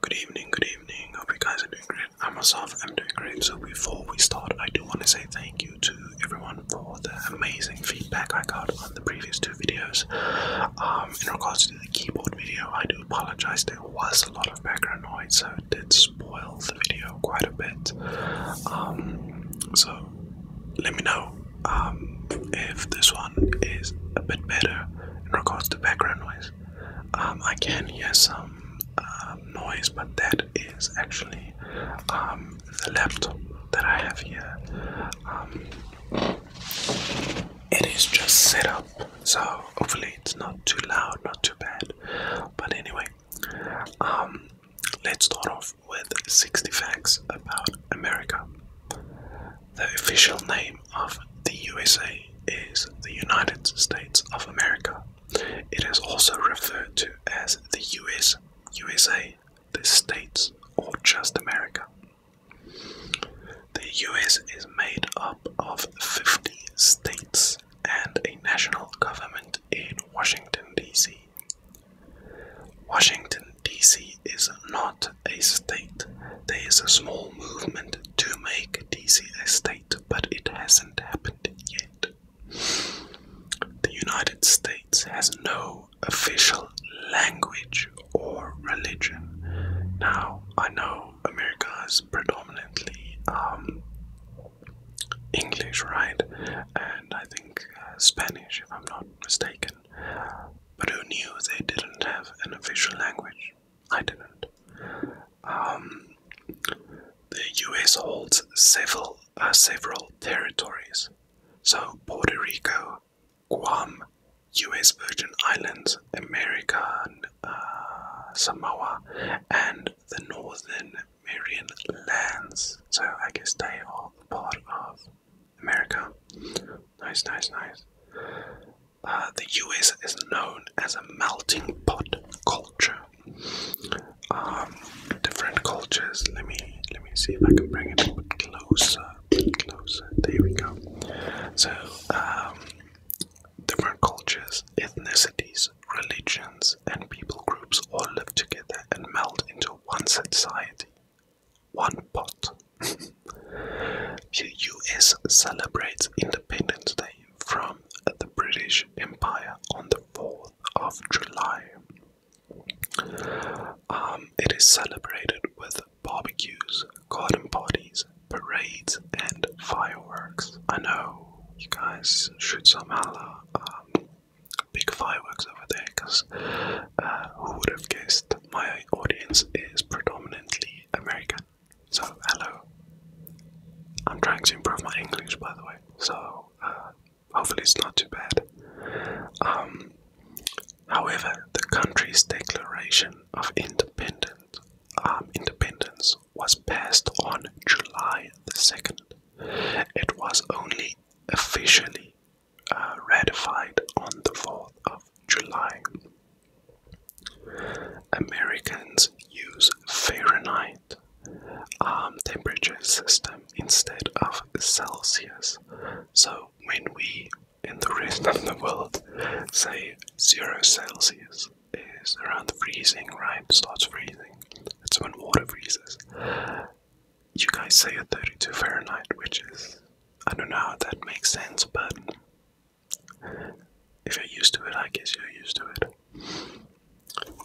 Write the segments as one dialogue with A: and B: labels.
A: Good evening, good evening. Hope you guys are doing great. I myself am doing great. So before we start, I do want to say thank you to everyone for the amazing feedback I got on the previous two videos. Um, in regards to the keyboard video, I do apologize. There was a lot of background noise, so it did spoil the video quite a bit. Um, so let me know um, if this one is a bit better in regards to background noise. Um, I can hear some um, noise, but that is actually um, the laptop that I have here. it is just set up, so hopefully it's not too loud, not too bad. But anyway, let's start off with 60 facts about America. The official name of the USA is the United States of America. It is also referred to as the US, USA, the States, or just America. The US is made up of 50 states and a national government in Washington, D.C. Washington, DC is not a state. There is a small movement to make DC a state, but it hasn't happened yet. The United States has no official language or religion. Now, I know America is predominantly um, English, right? And I think uh, Spanish, if I'm not mistaken but who knew they didn't have an official language? I didn't. Um, the US holds several, uh, several territories, so Puerto Rico, Guam, US Virgin Islands, America, uh, Samoa, and the Northern Marian Lands. So I guess they are part of America. Nice, nice, nice. Uh, the US is known as a melting pot culture. Um, different cultures. Let me let me see if I can bring it a bit closer. closer. There we go. So, um, different cultures, ethnicities, religions, and people groups all live together and melt into one society one pot. the US celebrates Independence Day from the British Empire on the 4th of July. Um, it is celebrated with barbecues, garden parties, parades, and fireworks. I know you guys should somehow um, big fireworks over there because uh, who would have guessed my audience is predominantly American. So, hello. I'm trying to improve my English, by the way, so uh, hopefully it's not too bad. Um, however, the country's declaration of independence, um, independence was passed on July the 2nd. It was only officially uh, ratified on the 4th of July. Americans use Fahrenheit um, temperature system instead of Celsius. So when we in the rest of the world say zero Celsius is around freezing, right? Starts freezing. That's when water freezes. You guys say a 32 Fahrenheit, which is, I don't know how that makes sense, but if you're used to it, I guess you're used to it.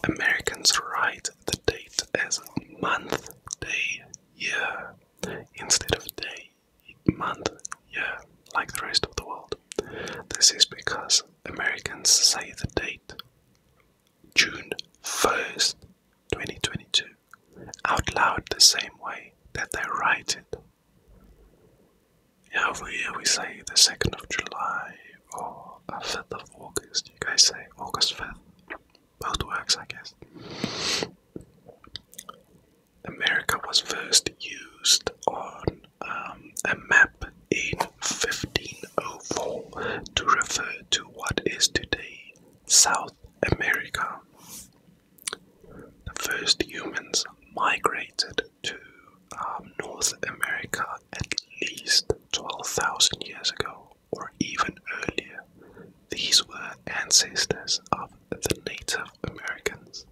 A: Americans write the date as month, day, year, instead of day, month, year, like the rest of the world. This is because Americans say the date June 1st, 2022, out loud the same way that they write it. Yeah, over here we say the 2nd of July or the 5th of August. You guys say August 5th. Both works, I guess. America was first used on um, a map in 1504 to refer to what is today South America. The first humans migrated to um, North America at least 12,000 years ago, or even earlier. These were ancestors of the Native Americans.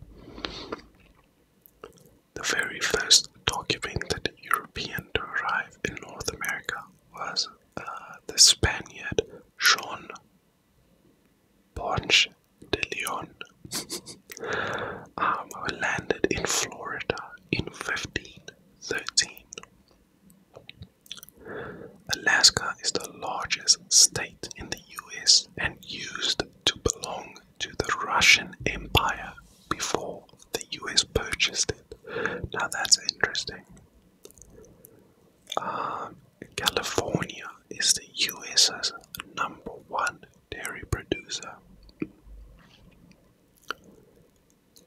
A: The very first documented European to arrive in North America was uh, the Spaniard Jean Ponce de Leon, um, who landed in Florida in 1513. Alaska is the largest state in the US and used to belong to the Russian Empire before the US purchased it. Now that's interesting. Um, California is the US's number one dairy producer.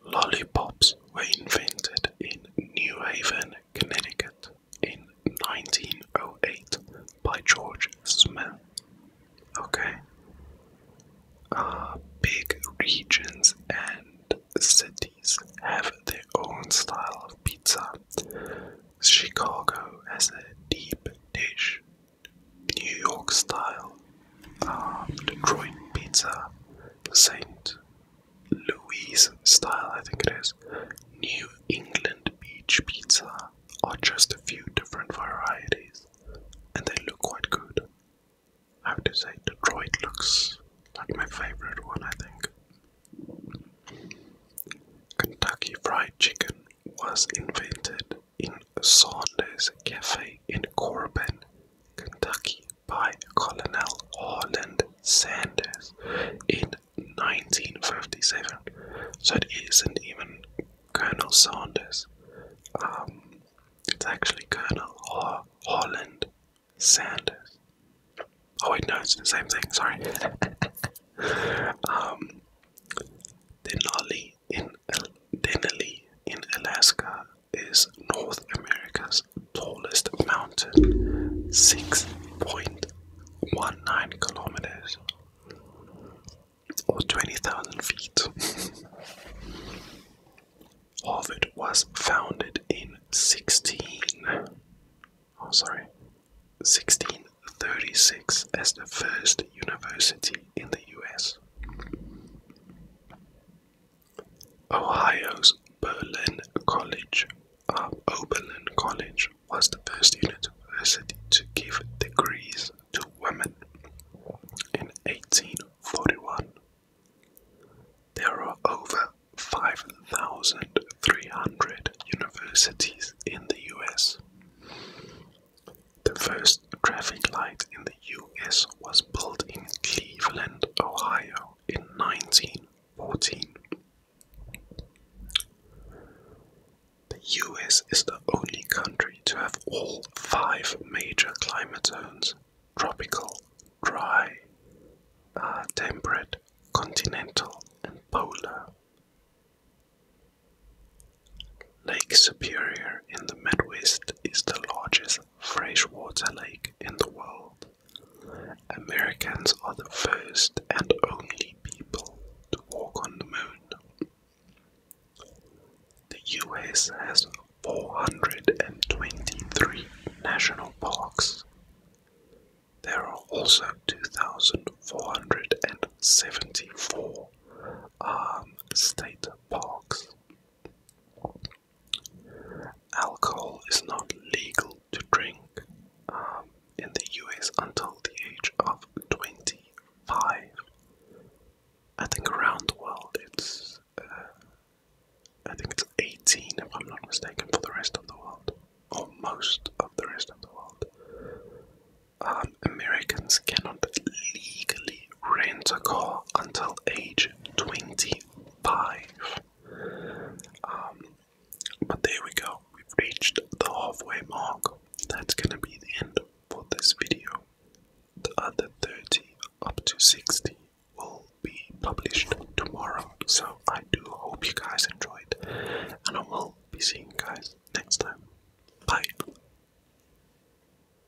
A: Lollipops were invented in New Haven, Connecticut in 1908 by George Smith. Okay. Uh, big regions and cities have their own style of pizza. Chicago has a deep dish, New York style, um, Detroit pizza, St. Louis style, I think it is, New England beach pizza are just a few different varieties and they look quite good. I have to say, Detroit looks like my favorite one, I think. Kentucky Fried Chicken was invented in Saunders Cafe in Corbin, Kentucky by Colonel Harland Sanders in 1957, so it isn't even Colonel Saunders. Um, it's actually Colonel Holland Sanders. Oh wait, no, it's the same thing. Sorry. Denali um, in Denali in Alaska is North America's tallest mountain, six point one nine kilometers or 20,000 feet. Harvard was founded in 16. Oh, sorry. 1636 as the first university in the US. Ohio's Berlin College um, Oberlin College was the first university to give degrees to women in 1841. There are over 5,300 universities in the US. The first traffic light in the US was built in Cleveland, Ohio in 19 14. The US is the only country to have all five major climate zones tropical, dry, uh, temperate, continental, and polar. Lake Superior in the Midwest is the largest freshwater lake in the world. Americans are the first and only people to walk on the moon. The US has 423 national parks. There are also 2,474 um, state parks. Alcohol is not legal to drink um, in the US until the age of 25. I think around the world it's, uh, I think it's 18 if I'm not mistaken for the rest of the world, or most of the rest of the world. Um, Americans cannot legally rent a car until age 25. Um, but there we go, we've reached the halfway mark. That's gonna be the end for this video. The other 30 up to 60 will be published tomorrow. So I do hope you guys enjoyed, and I will be seeing guys next time. Bye.